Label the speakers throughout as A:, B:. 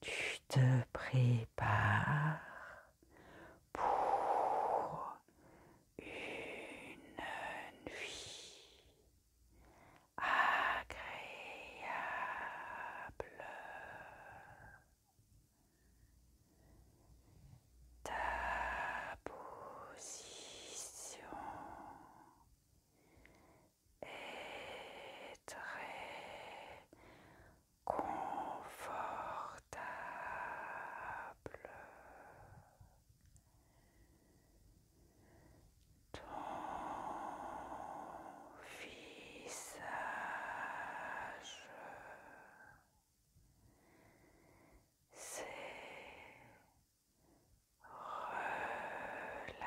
A: Tu te prépares pour une nuit agréable. Ta position est très confortable. Ton visage s'est relâché.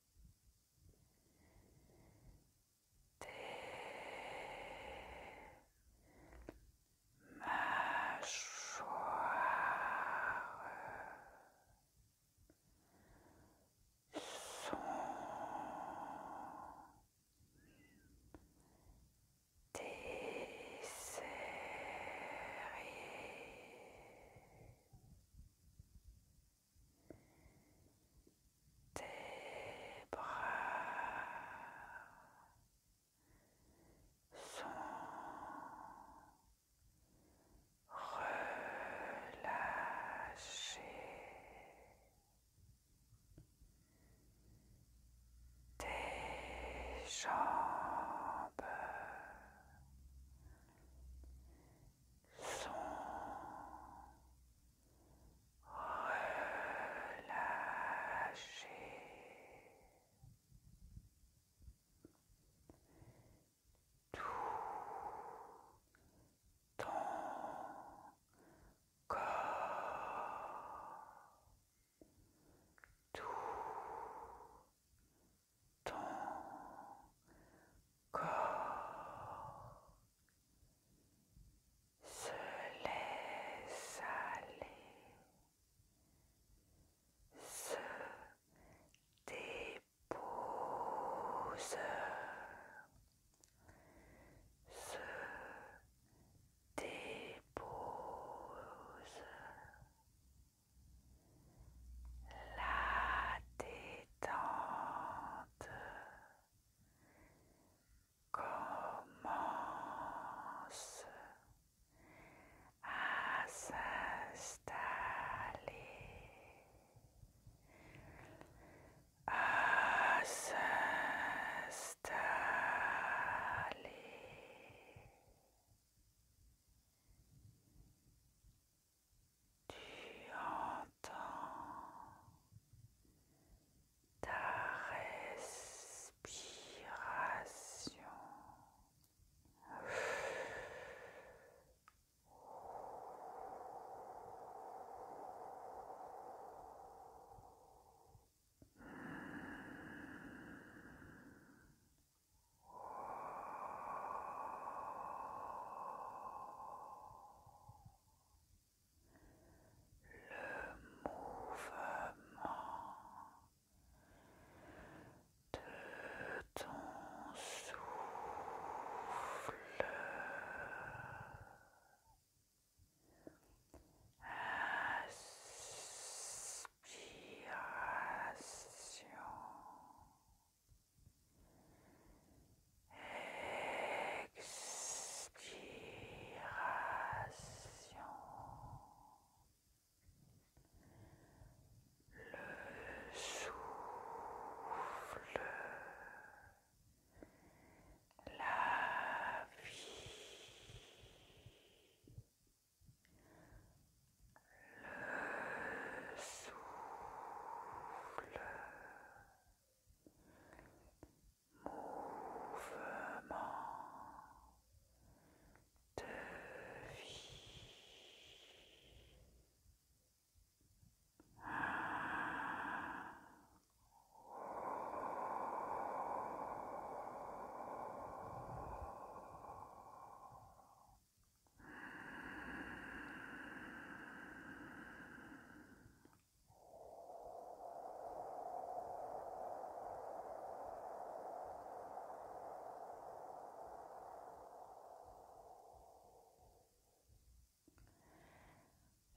A: des mâchoires sont desserrées tes bras sont relâchés, tes jambes sont relâchés. Tout ton corps, tout ton corps se laisse aller, se dépose, se dépose. La détente détente commence à s'installer, à s'installer. Tu entends ta respiration le mouvement de ton souffle. Inspiration. Expiration. Le souffle. La vie. Le souffle mouvement de vie.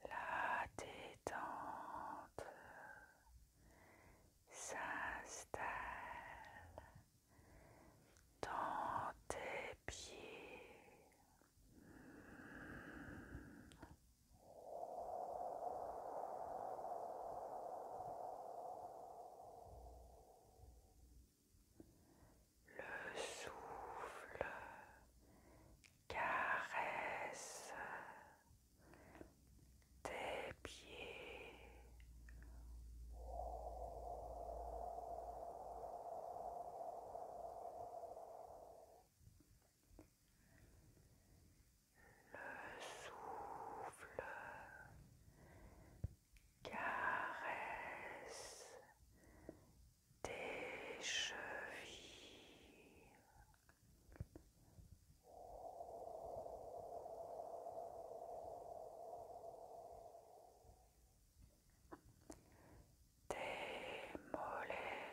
A: La détente s'installe dans tes pieds. Le souffle caresse tes pieds. Le souffle caresse tes chevilles des mollets.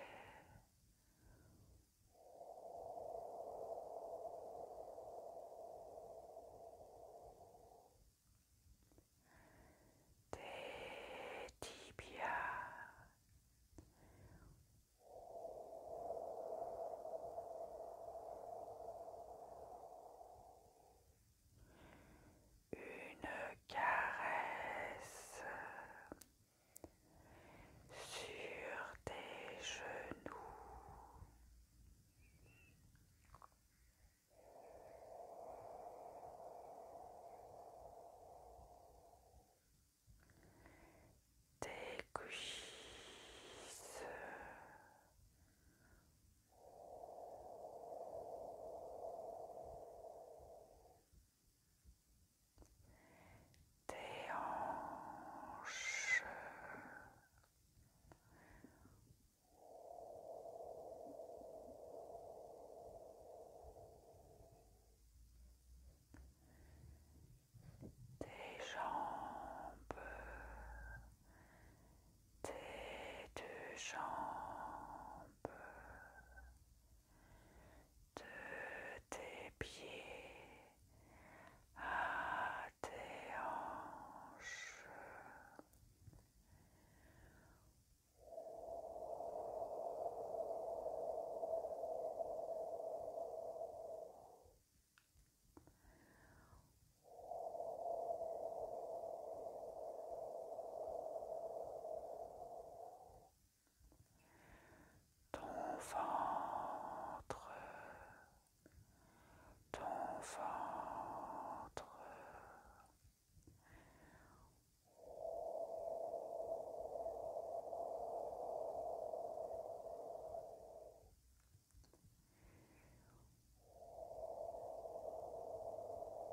A: des tibias, une caresse sur tes genoux. Tes cuisses tes hanches, tes jambes, tes deux jambes. jambes, de tes pieds à tes hanches ton ventre, ton ventre.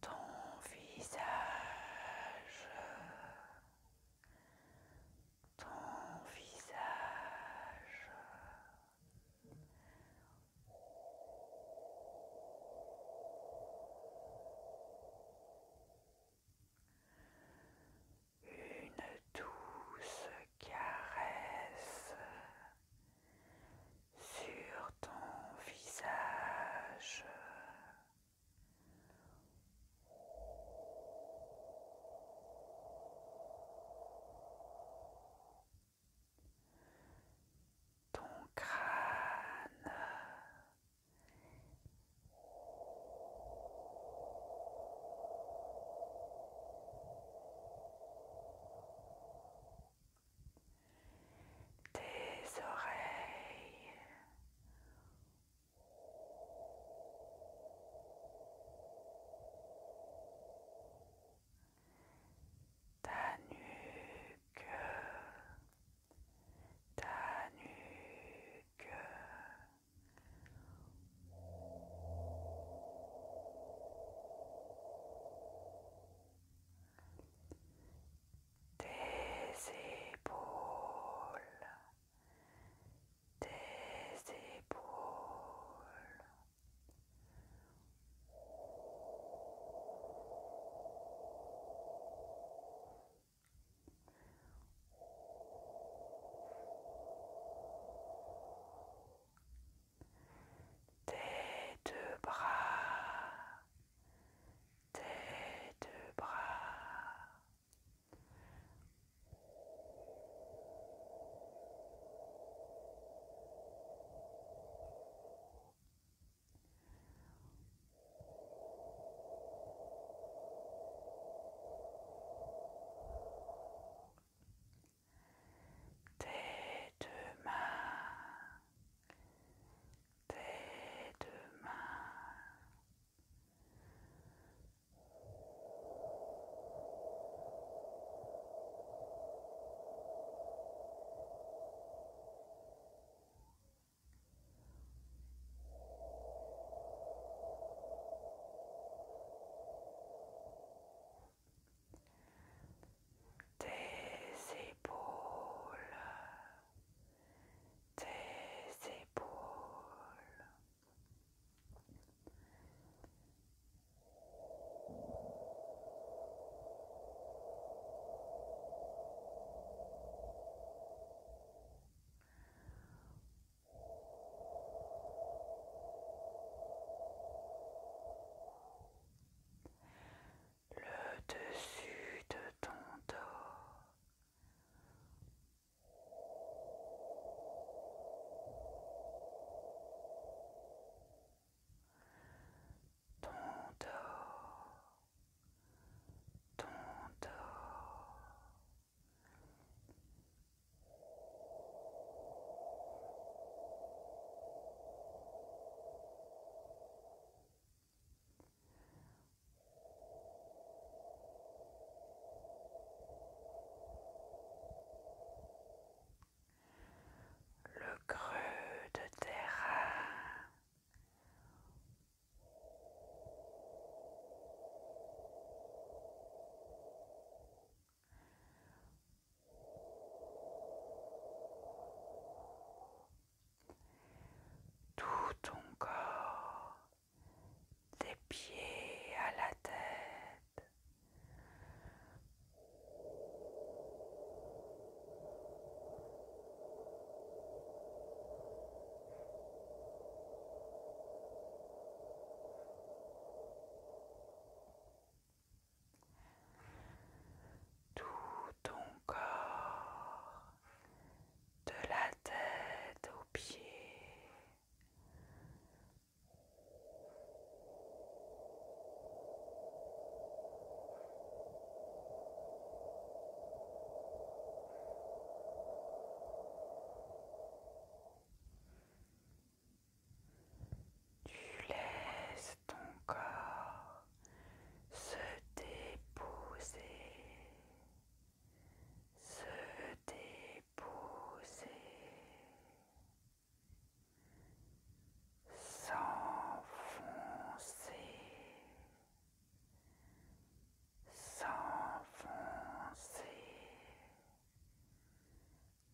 A: Ton visage, ton visage, une douce caresse sur ton visage. Ton crâne tes oreilles, ta nuque, ta nuque. Des épaules, Des épaules. Tes deux bras, tes deux bras tes deux mains, tes tes épaules, tes épaules le dessus de ton dos. Ton dos, ton dos, le creux de terrain. Tout ton corps, des pieds à la tête tout ton corps, de la tête aux pieds. Tu laisses ton corps se déposer, se déposer s'enfoncer, s'enfoncer,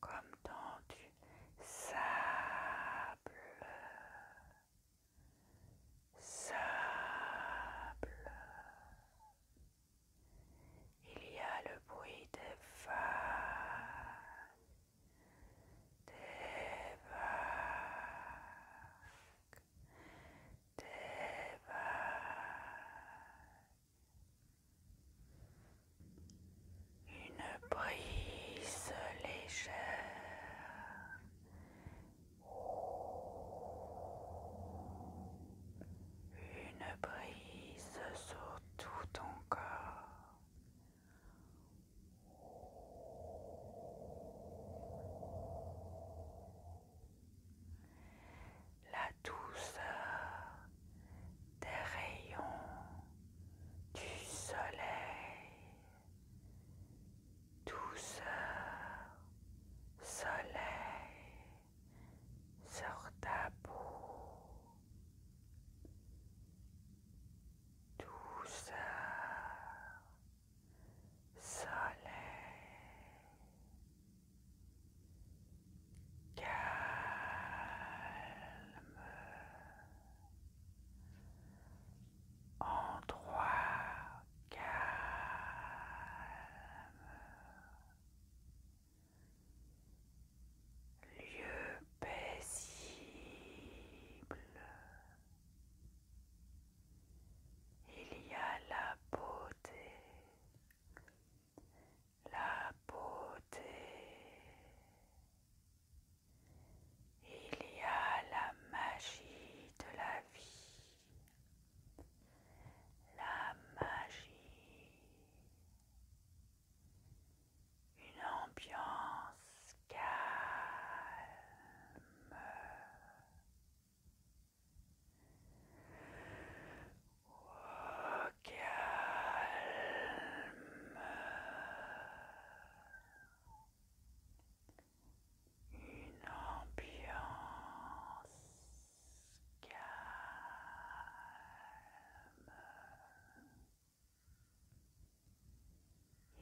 A: comme dans du sable, sable. Il y a le bruit des vagues, des vagues, des vagues une brise légère une brise sur tout ton corps douceur des rayons du soleil, douceur, soleil sur ta peau, douceur, soleil calme, endroit calme, lieu paisible. Il y a la beauté, la beauté. Il y a la magie de la vie, la magie, une ambiance calme au calme. Une ambiance calme.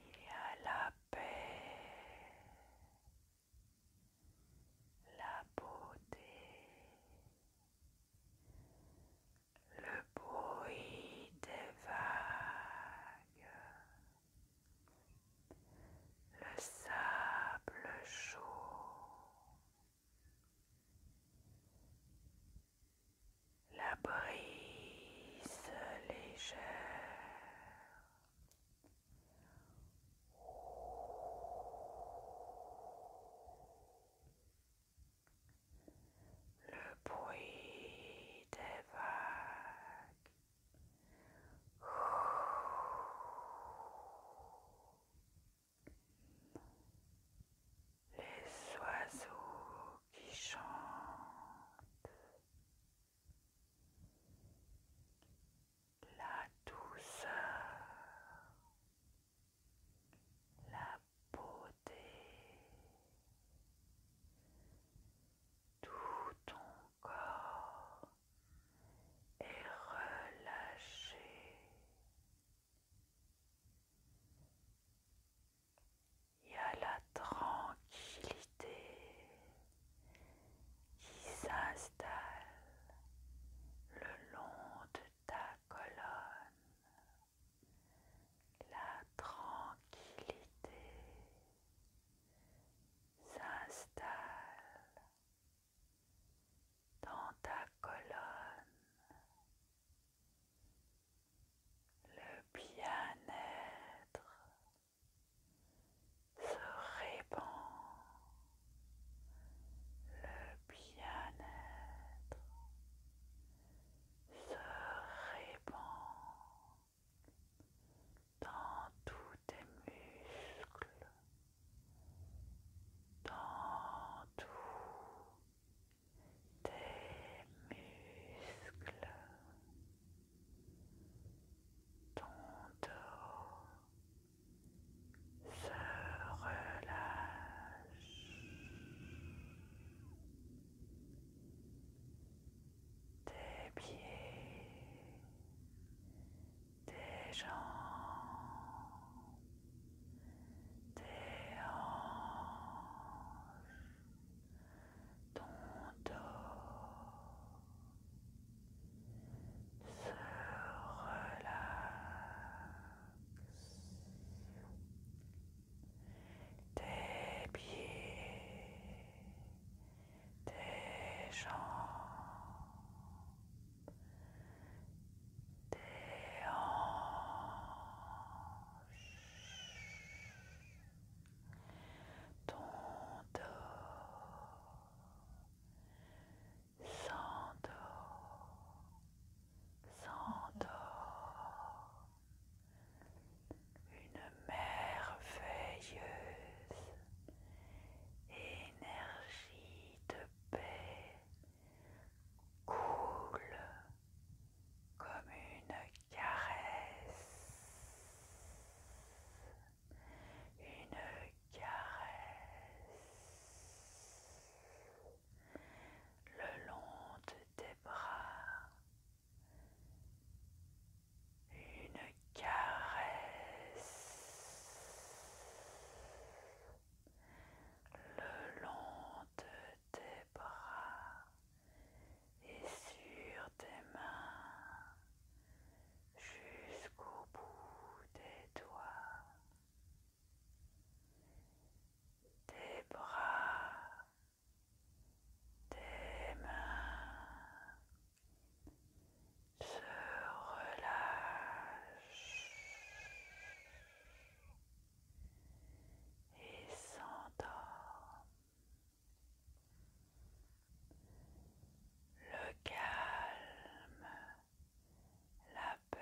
A: Il y a la paix, la beauté, le bruit des vagues, le sable chaud, la brise légère le bruit des vagues. Les oiseaux qui chantent, la douceur la beauté, tout ton corps est relâché. Il y a la tranquillité qui s'installe le long de ta colonne la tranquillité s'installe dans ta colonne. Le bien-être se répand bien-être se répand dans tous tes muscles, dans tous tes muscles, ton dos, se relâche tes pieds, tes jambes, tes hanches, ton dos se relâche tes pieds, tes jambes, tes hanches, ton dos, son dos s'endort une merveilleuse énergie de paix coule comme une caresse, une caresse le long de tes bras, une caresse le long de tes bras et sur tes mains jusqu'au bout des doigts tes bras, tes mains se relâchent et s'endorment. Le calme, la paix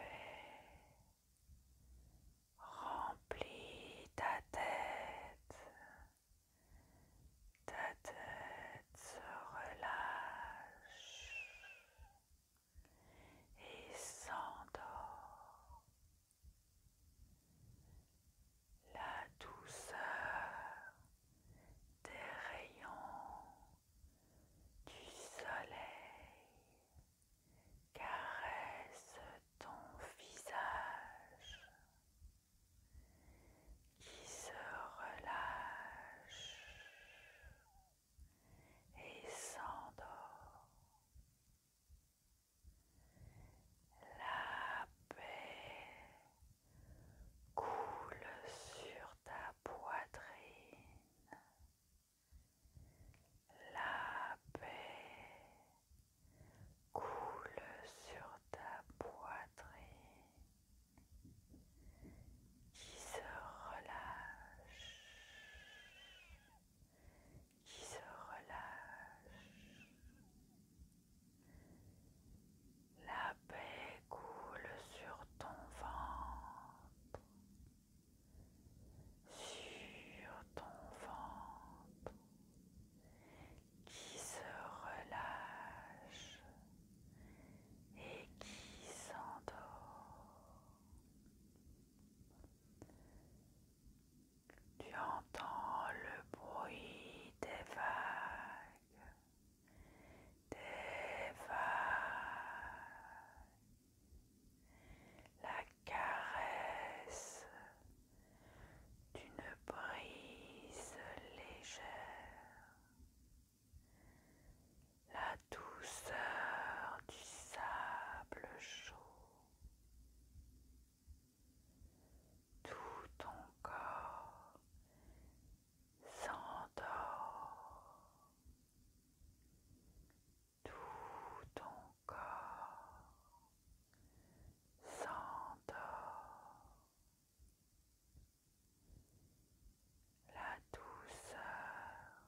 A: Remplis ta tête, ta tête se relâche et s'endort. La douceur des rayons du soleil caresse ton visage qui se relâche et s'endort. La paix coule sur ta poitrine. La paix coule sur ta poitrine qui se relâche, qui se relâche. La paix coule sur ton ventre sur ton ventre qui se relâche et qui s'endort. Tu entends le bruit des vagues, des vagues la caresse d'une brise légère, la douceur du sable chaud. Tout ton corps s'endort tout ton corps s'endort. La douceur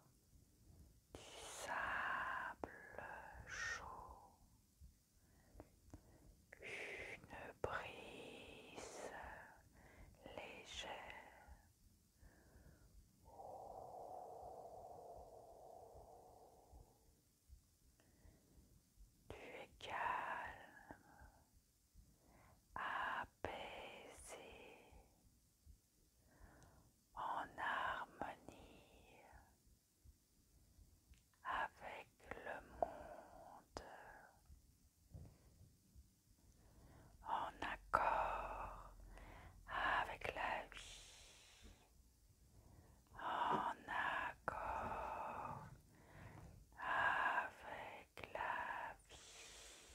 A: du sable chaud, une brise légère tu es calme, apaisé, en harmonie avec le monde, en accord avec la vie en accord avec la vie,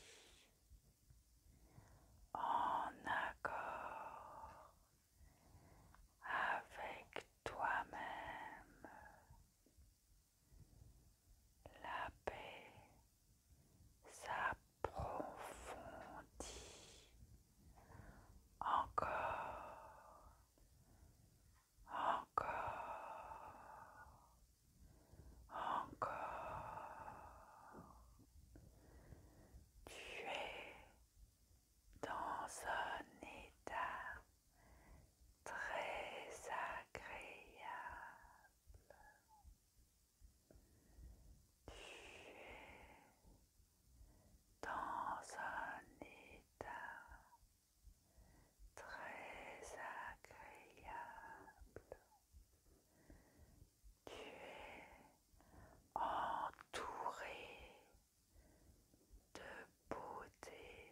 A: en accord avec toi-même, la paix paix, Profondis Encore, encore, encore. Tu es dans un état très agréable. Tu es dans un état très agréable. Tu es entouré de beauté,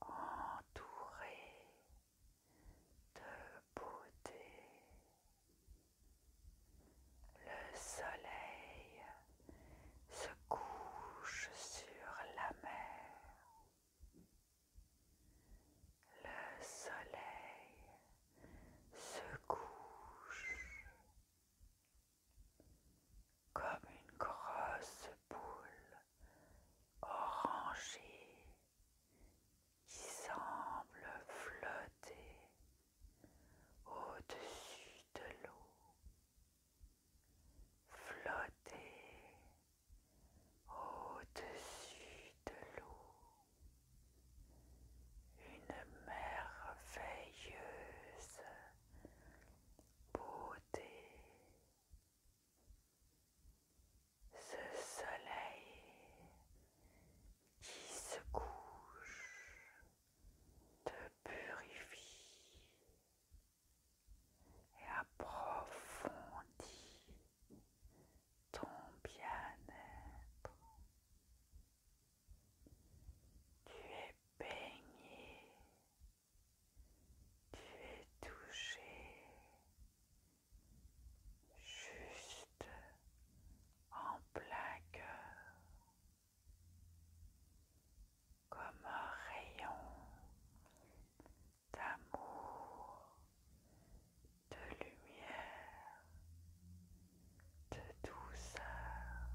A: entouré de beauté. Le soleil se couche sur la mer. Le soleil se couche comme une grosse boule orangée qui semble flotter au-dessus de l'eau, flotter au-dessus de l'eau, une merveilleuse beauté. Ce soleil qui se couche te purifie et approfondit ton bien-être. Tu es baigné, tu es touché juste en plein cœur, comme un rayon d'amour, de lumière, de douceur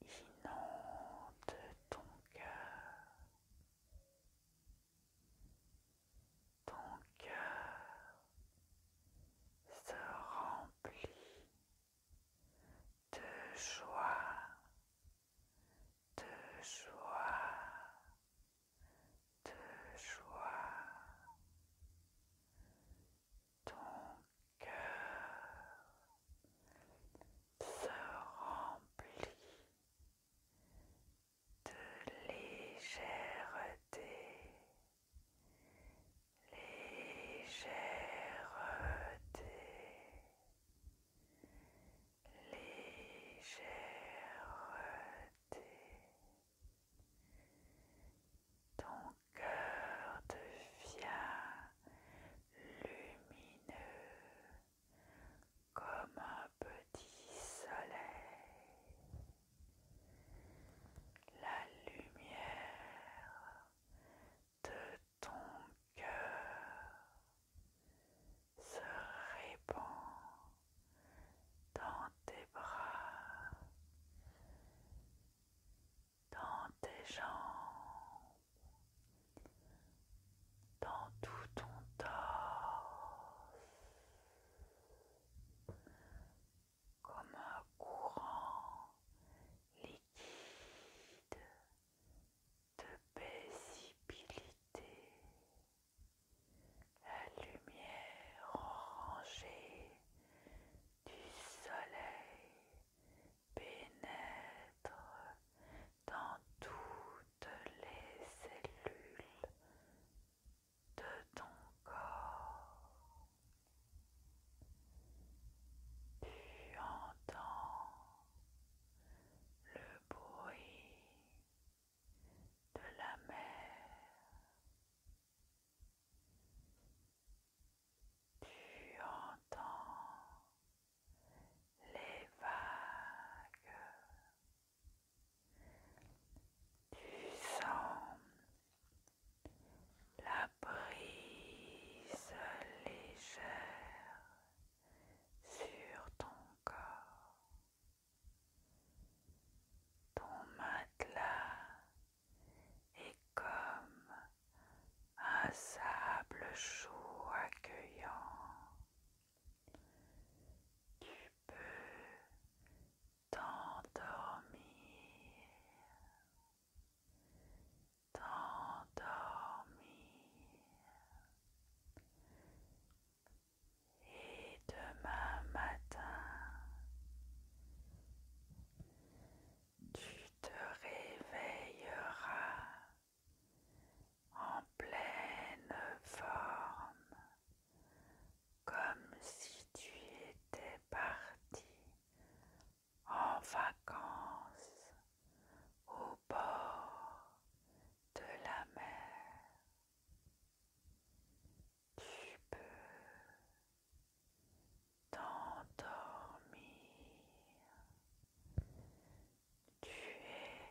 A: qui inonde ton cœur. Ton cœur se remplit de joie, de joie, de joie. Ton cœur se remplit de légèreté, légèreté, légèreté. Ton cœur devient lumineux comme un petit soleil, la lumière de ton cœur se répand dans tes bras, dans tes jambes. Dans tout ton torse, comme un courant liquide de paisibilité. La lumière orangée du soleil pénètre dans toutes les cellules de ton corps. Tu entends le bruit de la mer. Tu entends les vagues. Tu sens la brise légère sur ton corps. Ton matelas est comme un sable chaud accueillant tu peux t'endormir, t'endormir. Et demain matin, tu te réveilleras en pleine forme comme si tu étais parti en vacances au bord de la mer. Tu peux t'endormir. Tu es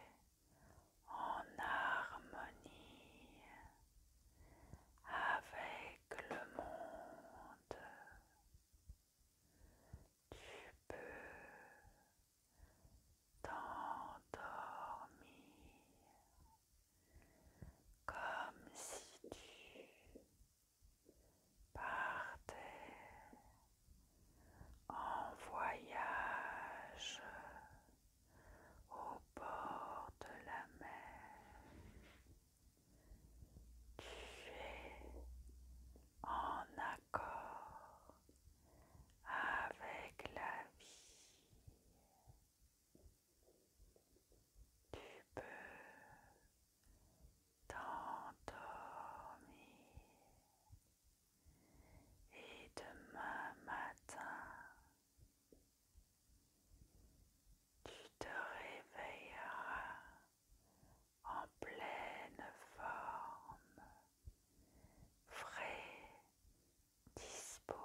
A: en harmonie avec le monde. Tu peux t'endormir comme si tu partais en voyage au bord de la mer. Tu es en accord avec la vie. Tu peux t'endormir et demain matin tu te réveilleras en pleine forme, frais, dispo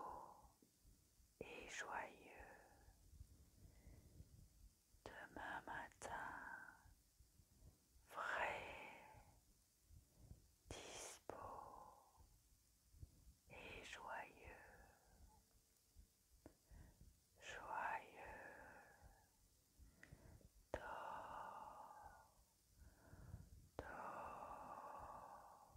A: et joyeux. Demain matin, frais, dispo et joyeux, joyeux, dors, dors.